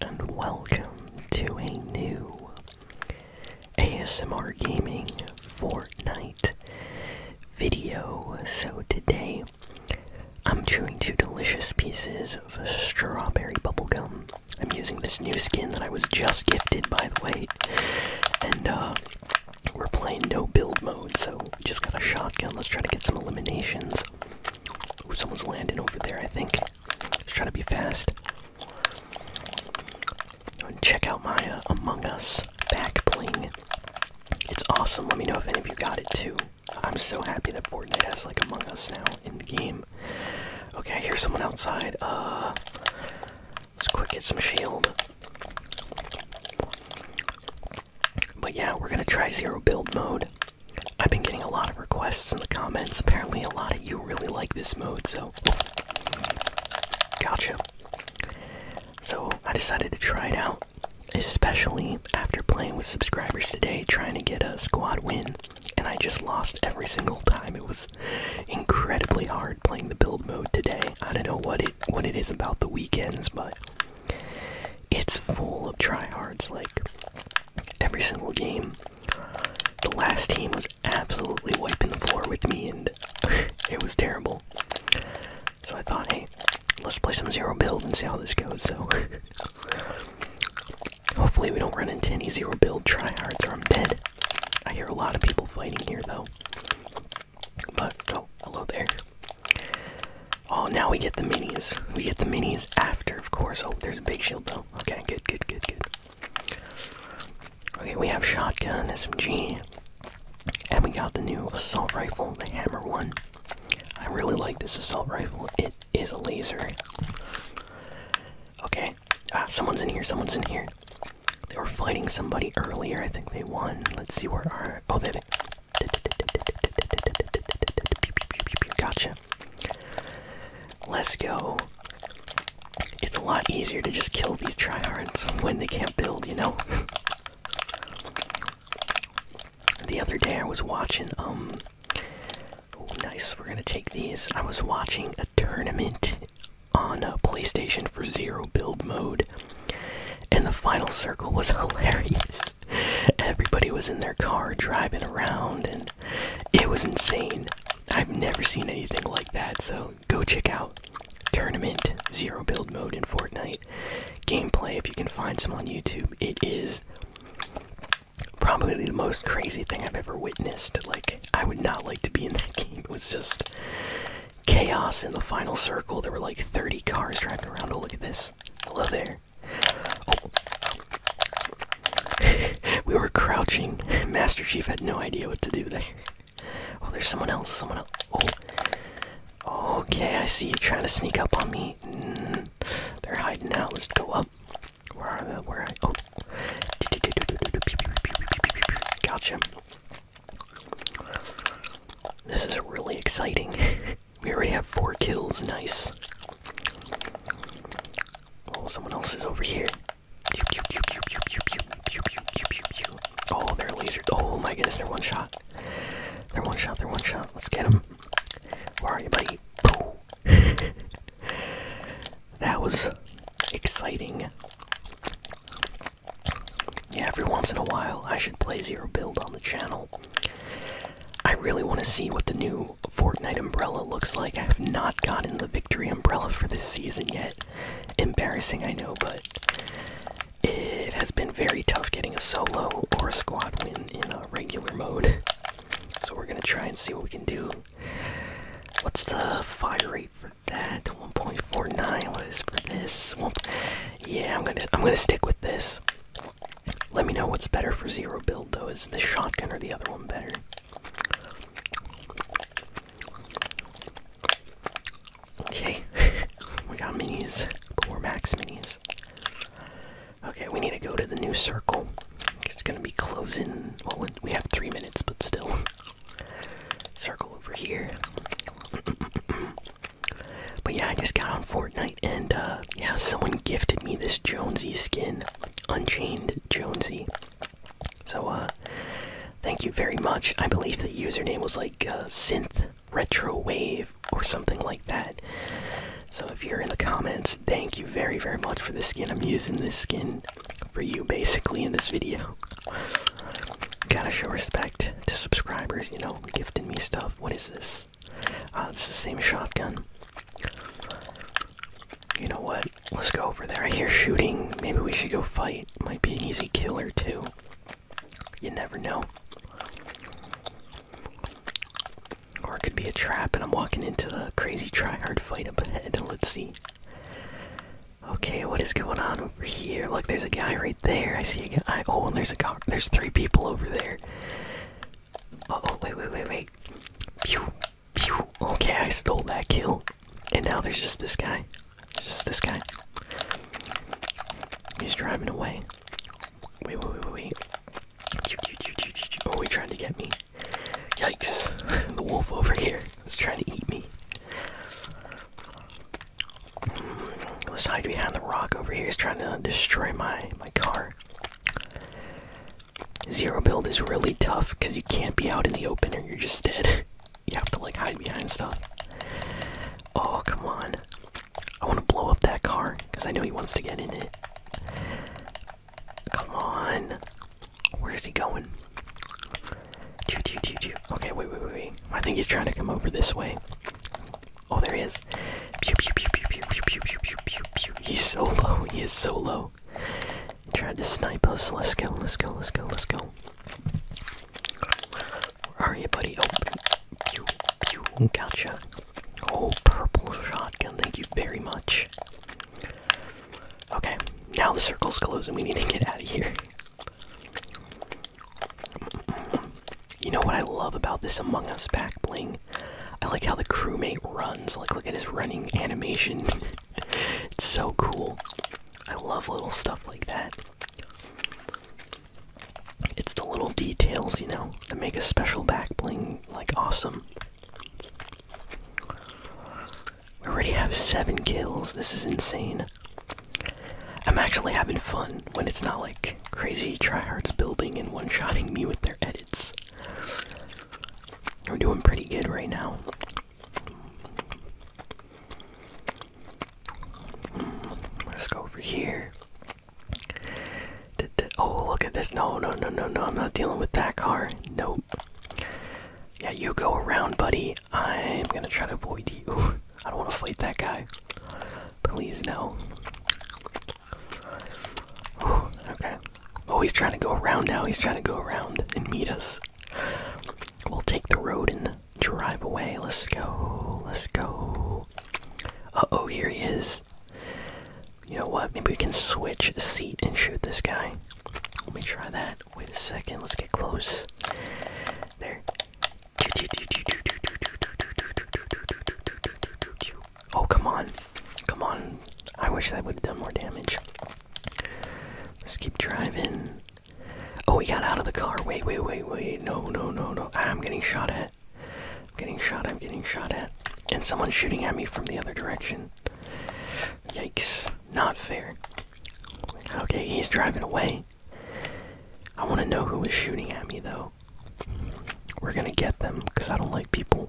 and welcome to a new ASMR Gaming Fortnite video. So, today I'm chewing two delicious pieces of strawberry bubblegum. I'm using this new skin that I was just gifted, by the way, and uh, we're playing no build mode, so just got a shotgun. Let's try to get some eliminations. Ooh, someone's landing over there, I think. Just try to be fast. And check out my uh, Among Us back bling. It's awesome. Let me know if any of you got it too. I'm so happy that Fortnite has like Among Us now in the game. Okay, here's someone outside. Uh, let's quick get some shield. But yeah, we're gonna try zero build mode. I've been getting a lot of requests in the comments. Apparently, a lot of you really like this mode, so. Gotcha. So, I decided to try it out, especially after playing with subscribers today, trying to get a squad win, and I just lost every single time. It was incredibly hard playing the build mode today. I don't know what it what it is about the weekends, but it's full of tryhards like every single game. The last team was absolutely wiping the floor with me, and it was terrible. So I thought, hey, let's play some zero build and see how this goes. So hopefully we don't run into any zero build tryhards, or I'm dead. I hear a lot of people fighting here, though. But oh, hello there. Oh, now we get the minis. We get the minis after of course. Oh, there's a big shield though. Okay, good, good, good, good. Okay, we have shotgun, SMG, and we got the new assault rifle, the hammer one. I really like this assault rifle. It is a laser. Okay. Ah, someone's in here, someone's in here. They were fighting somebody earlier. I think they won. Let's see where our oh they Gotcha. Let's go. It's a lot easier to just kill these tryhards when they can't build, you know? the other day I was watching, um. Oh, nice, we're gonna take these. I was watching a tournament on a uh, PlayStation for zero build mode, and the final circle was hilarious. Everybody was in their car driving around, and it was insane. I've never seen anything like that, so go check out Tournament Zero Build Mode in Fortnite gameplay if you can find some on YouTube. It is probably the most crazy thing I've ever witnessed. Like, I would not like to be in that game. It was just chaos in the final circle. There were like 30 cars driving around. Oh, look at this. Hello there. we were crouching. Master Chief had no idea what to do there. Oh, there's someone else. Someone else. Oh. Okay, I see you trying to sneak up on me. Mm, they're hiding now. Let's go up. Where are they? Where I? Oh. Gotcha. This is really exciting. we already have four kills. Nice. Oh, someone else is over here. Oh, they laser. Oh my goodness, they're one shot. They're one shot, they're one shot. Let's get them. Where are you, buddy? that was exciting. Yeah, every once in a while I should play Zero Build on the channel. I really want to see what the new Fortnite umbrella looks like. I have not gotten the victory umbrella for this season yet. Embarrassing, I know, but it has been very tough getting a solo or squad win in a regular mode. So we're gonna try and see what we can do. What's the fire rate for that? 1.49. What is for this? yeah, I'm gonna I'm gonna stick with this. Let me know what's better for zero build though. Is the shotgun or the other one better? Okay, we got minis, but max minis. Okay, we need to go to the new circle. It's gonna be closing. Well, we have three minutes, but still. Circle over here. but yeah, I just got on Fortnite, and uh, yeah, someone gifted me this Jonesy skin. Unchained Jonesy. So, uh, thank you very much. I believe the username was like uh, Synth Retro Wave or something like that. So, if you're in the comments, thank you very, very much for the skin. I'm using this skin for you basically in this video. Gotta show respect to subscribers, you know, gifting me stuff. What is this? Oh, it's the same shotgun. You know what? Let's go over there. I hear shooting. Maybe we should go fight. Might be an easy killer too. You never know. Or it could be a trap, and I'm walking into a crazy tryhard fight up ahead. Let's see. Okay, what is going on over here? Look, there's a guy right there. I see a guy. Oh, and there's a car. There's three people over there. Uh oh, wait, wait, wait, wait. Pew, pew. Okay, I stole that kill. And now there's just this guy. Just this guy. He's driving away. Wait, wait, wait, wait, wait. Oh, he tried to get me. Yikes. The wolf over here is trying to eat me. Mm, let's hide behind the rock over here. He's trying to destroy my, my car. Zero build is really tough because you can't be out in the open or you're just dead. you have to like hide behind stuff. Oh, come on. I want to blow up that car because I know he wants to get in it. Come on. Where is he going? Okay, wait, wait, wait, I think he's trying to come over this way. Oh, there he is pew, pew. He's so low. He is so low. He tried to snipe us. Let's go. Let's go. Let's go. Let's go. Where are you, buddy? Oh, pew, pew. Gotcha. Oh, purple shotgun. Thank you very much. Okay. Now the circle's closed and we need to get out of here. You know what I love about this Among Us back bling I like how the crewmate runs. Like, look at his running animation. it's so cool. I love little stuff like that. It's the little details, you know, that make a special back bling like awesome. We already have seven kills. This is insane. I'm actually having fun when it's not like crazy tryhards building and one-shotting me with their edits. We're doing pretty good right now. let's go over here. oh, look at this. No, no, no, no, no. I'm not dealing with that car. Nope. Yeah, you go around, buddy. I'm gonna try to avoid you. I don't want to fight that guy. Please, no okay. Oh, he's trying to go around now. He's trying to go around and meet us. We'll take the road and drive away. Let's go. Let's go. Uh oh, here he is. You know what? Maybe we can switch a seat and shoot this guy. Let me try that. Wait a second. Let's get close. There. Oh, come on. Come on. I wish I would have done more damage. Let's keep driving. Oh, we got out of the car. Wait, wait, wait, wait. No, no, no, no. I'm getting shot at. I'm getting shot. I'm getting shot at. And someone's shooting at me from the other direction. Yikes. Not fair. Okay, he's driving away. I want to know who is shooting at me, though. We're gonna get them, because I don't like people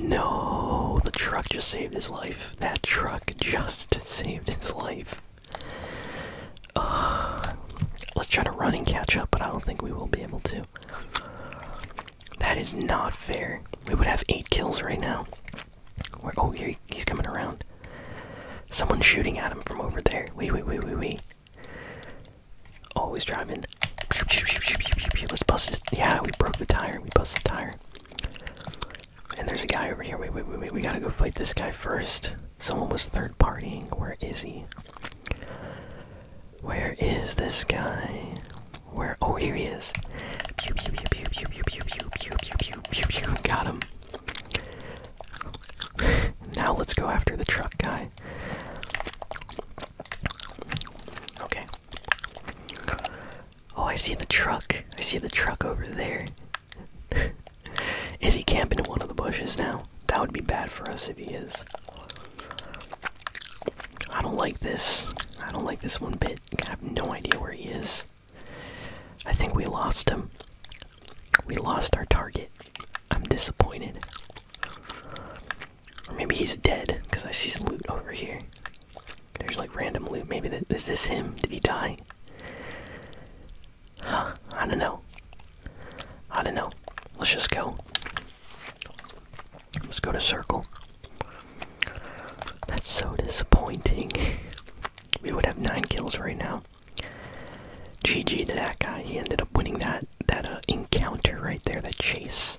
No, the truck just saved his life. That truck just saved his life. Uh, let's try to run and catch up, but I don't think we will be able to. That is not fair. We would have eight kills right now. Where? Oh, here he's coming around. Someone's shooting at him from over there. Wait, wait, wait, wait, wait. Oh, he's driving and let's bust this. Yeah, we broke the tire. We bust the tire. And there's a guy over here. Wait, wait, wait, wait. We gotta go fight this guy first. Someone was third partying. Where is he? Where is this guy? Where? Oh, here he is. Got him. now let's go after the truck guy. Okay. Oh, I see the truck. I see the truck over there. is he camping in one of the bushes now? That would be bad for us if he is. I don't like this. I don't like this one bit. I have no idea where he is. I think we lost him. We lost our target. I'm disappointed. Or maybe he's dead, because I see some loot over here. There's like random loot. Maybe th is this him? Did he die? I don't know. I don't know. Let's just go. Let's go to circle. That's so disappointing. we would have nine kills right now. GG to that guy. He ended up winning that that uh, encounter right there, that chase nice.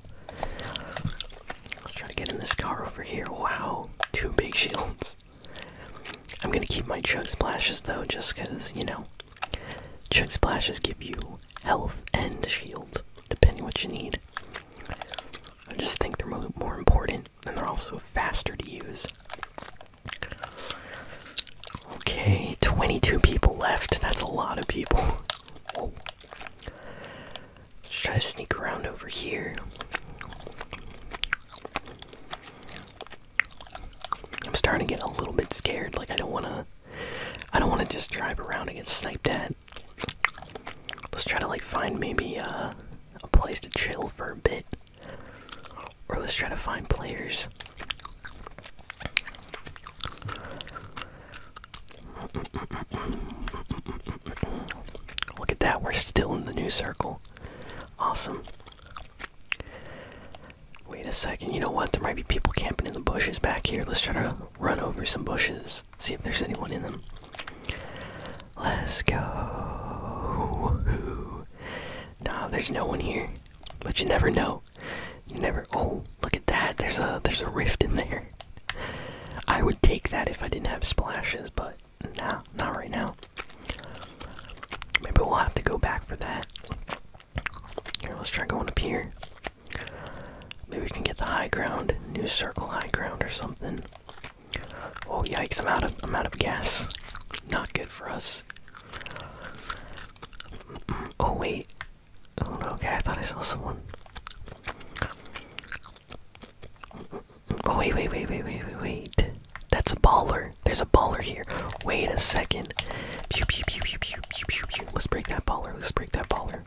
Let's try to get in this car over here. Wow, two big shields. I'm gonna keep my choke splashes though, just because, you know, choke splashes give you health and shield, depending what you need. I just think they're more important, and they're also faster to use. Okay, 22 people left. That's a lot of people. Let's try to sneak around over here. I'm starting to get a little bit scared. Like I don't wanna, I don't wanna just drive around and get sniped at. Let's try to like find maybe uh, a place to chill for a bit, or let's try to find players. Look at that, we're still in the new circle. Awesome. Wait a second, you know what? There might be people camping in the bushes back here. Let's try to run over some bushes, see if there's anyone in them. Let's go. Nah, there's no one here. But you never know. You never. Oh, Look at that. There's a there's a rift in there. I would take that if I didn't have splashes, but now not right now. Maybe we'll have to go back for that. Here, let's try going up here. Maybe we can get the high ground, new circle high ground or something. Oh yikes, I'm out of I'm out of gas. Not good for us. Oh wait, Oh no, okay, I thought I saw someone. Oh wait, wait, wait, wait, wait, wait, wait. That's a baller. There's a baller here. Wait a second. Pew pew pew pew pew pew pew pew. Let's break that baller. Let's break that baller.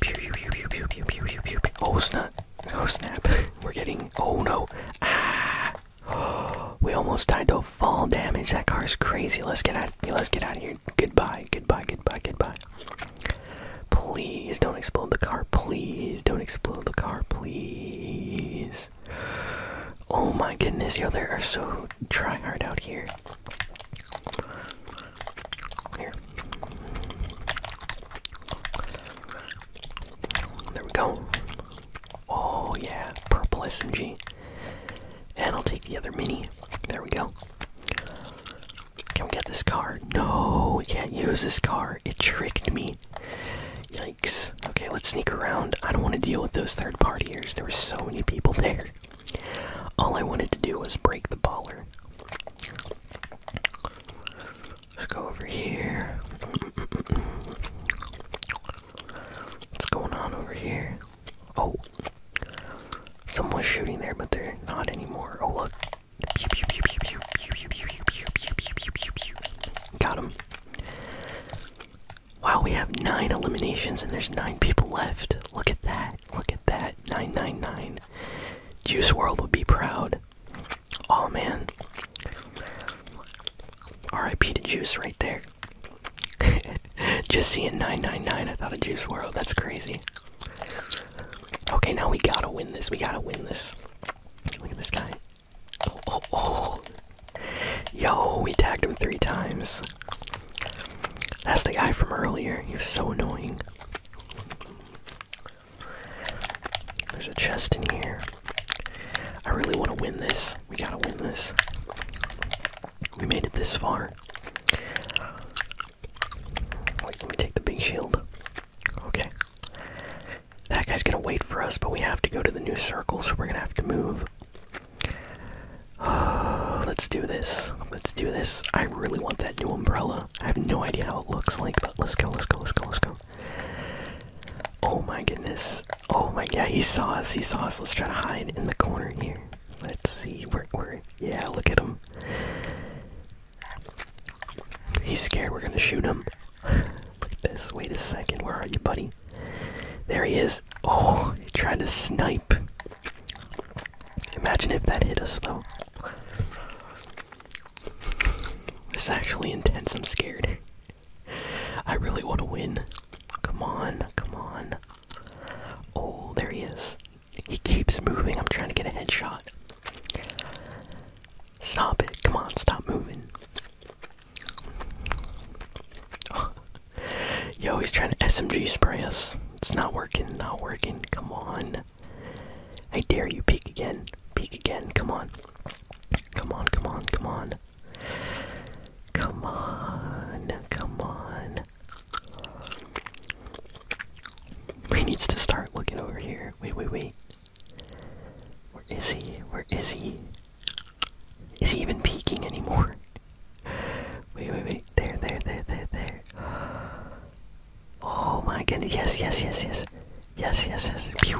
Pew pew pew pew pew pew pew pew pew. Oh snap. Oh snap. We're getting oh no. Ah we almost died to fall damage. That car's crazy. Let's get out let's get out of here. Goodbye. Goodbye. Goodbye. Goodbye. Please don't explode the car. Please don't explode the car. Please. Oh my goodness, yo, there are so trying hard out here. Here. There we go. Oh yeah, purple SMG. And I'll take the other mini. There we go. Can we get this car? No, we can't use this car. It tricked me. Yikes. Okay, let's sneak around. I don't want to deal with those third partiers. There were so many people there. All I wanted to do was break the baller. Let's go over here. What's going on over here? Oh, Someone's shooting there, but they're not anymore. Oh, look. Got him. Wow, we have nine eliminations and there's nine people left. Look at that. Look at that. 999. Juice World would be proud. Oh man. RIP to Juice right there. Just seeing 999, I thought of Juice World. That's crazy. Okay, now we gotta win this. We gotta win this. Look at this guy. Oh, oh, oh. Yo, we tagged him three times. That's the guy from earlier. He was so annoying. There's a chest in here. I really want to win this. We gotta win this. We made it this far let me take the big shield. Okay. That guy's gonna wait for us, but we have to go to the new circle, so we're gonna have to move. let's do this. Let's do this. I really want that new umbrella. I have no idea how it looks like, but let's go, let's go, let's go, let's go. Oh my goodness. Oh my, god. he saw us, he saw us. Let's try to hide in the corner here. Let's see, where, where, yeah, look at him. He's scared we're gonna shoot him. Look at this. Wait a second. Where are you, buddy? There he is. Oh, he tried to snipe. Imagine if that hit us, though. This is actually intense. I'm scared. I really want to win. Come on, come on. Oh, there he is. He keeps moving. I'm trying to get a headshot. Stop it. Come on, stop moving. Yo, he's trying to SMG spray us. It's not working, not working. Come on. I dare you. Peek again. Peek again. Come on. Come on, come on, come on. Come on, come on. He needs to start looking over here. Wait, wait, wait. Where is he? Where is he? Is he even peeking anymore? Wait, wait, wait. There, there, there, there, there. Oh my goodness. Yes, yes, yes, yes. Yes, yes, yes. Pew.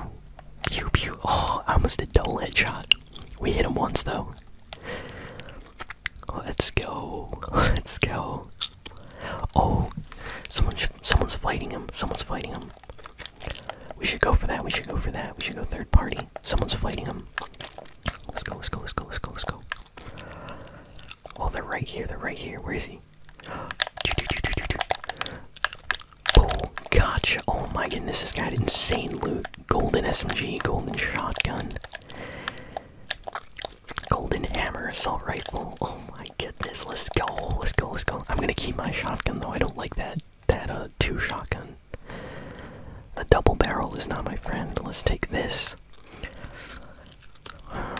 Pew, pew. Oh, almost a double headshot. We hit him once, though. Let's go. Let's go. Oh, someone someone's fighting him. Someone's fighting him. We should go for that. We should go for that. We should go third party. Someone's fighting him. Let's go. Let's go. Let's go. Let's go. Let's go. Oh, they're right here. They're right here. Where is he? Oh, gotcha. Oh my goodness, this guy insane loot. Golden SMG, golden shotgun. Golden hammer, assault rifle. Oh my goodness, let's go, let's go, let's go. I'm gonna keep my shotgun though. I don't like that that uh two shotgun. The double barrel is not my friend. Let's take this. Um,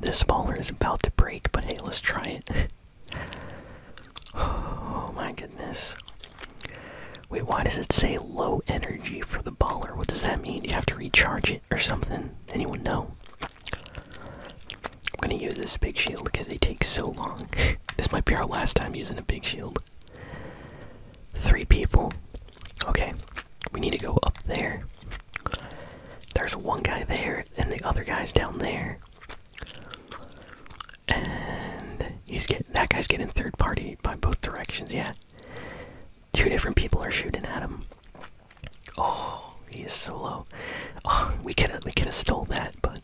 this baller is about to break, but hey, let's try it. oh my goodness. Wait, why does it say low energy for the baller. What does that mean? Do you have to recharge it or something? Anyone know? I'm gonna use this big shield because they take so long. this might be our last time using a big shield. Three people. Okay, we need to go up there. There's one guy there, and the other guy's down there. And he's get that guy's getting third party by both directions. Yeah, Two different people are shooting at him. Oh, he's is so low. Oh, we could have we could have stole that, but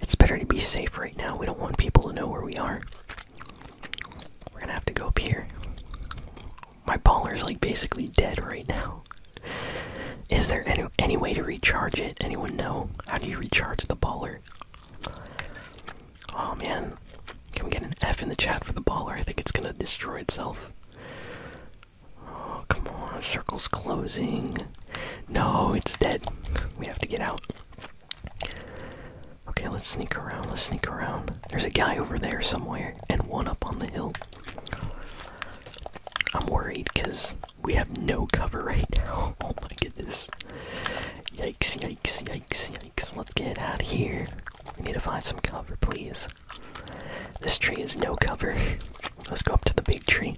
it's better to be safe right now. We don't want people to know where we are. We're gonna have to go up here. My baller is like basically dead right now. Is there any any way to recharge it? Anyone know? How do you recharge the baller? Oh man. Can we get an F in the chat for the baller? I think it's gonna destroy itself. Oh, come on. Circle's closing. No, it's dead. We have to get out. Okay, let's sneak around. Let's sneak around. There's a guy over there somewhere, and one up on the hill. I'm worried because we have no cover right now. Oh my goodness. Yikes, yikes, Yikes, let's get out of here. We need to find some cover, please. This tree is no cover. let's go up to the big tree.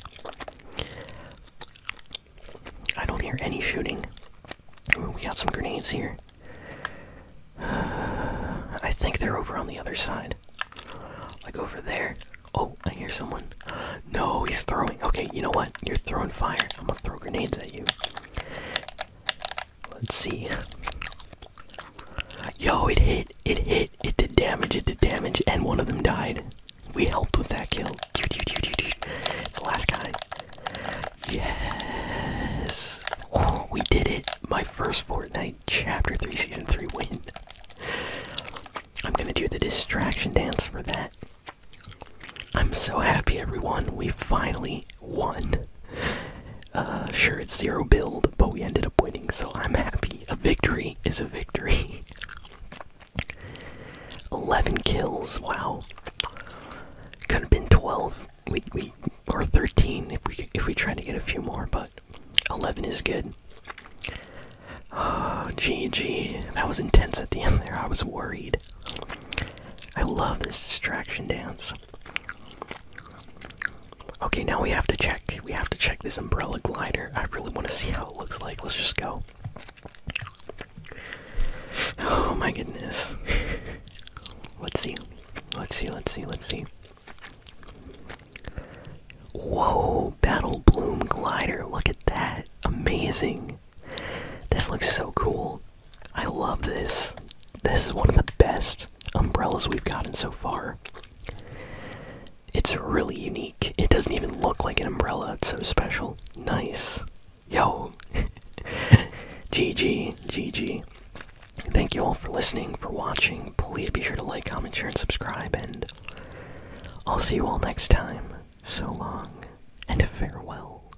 I don't hear any shooting. we got some grenades here. I think they're over on the other side. Like over there. Oh, I hear someone. No, he's throwing. Okay, you know what? You're throwing fire. I'm gonna throw grenades at you. Let's see. Yo, it hit. It hit. It did damage. It did damage. And one of them died. We helped with that kill. The last guy. Yes. we did it. My first Fortnite Chapter 3 Season 3 win. I'm gonna do the distraction dance for that. I'm so happy, everyone. We finally won. Uh, sure, it's zero build, but we ended up winning, so I'm happy. A victory is a victory. 11 kills, wow. Could have been 12, we, we, or 13 if we if we tried to get a few more, but 11 is good. Oh, ah, GG. That was intense at the end there. I was worried. I love this distraction dance. Okay, now we have to check. We have to check this umbrella glider. I really want to see how it looks like. Let's just go. Oh my goodness. let's see. Let's see, let's see, let's see. Whoa, Battle Bloom Glider. Look at that. Amazing. This looks so cool. I love this. This is one of the best umbrellas we've gotten so far. It's really unique. It doesn't even look like an umbrella. It's so special. Nice. Yo. GG. GG. Thank you all for listening, for watching. Please be sure to like, comment, share, and subscribe. And I'll see you all next time. So long and farewell.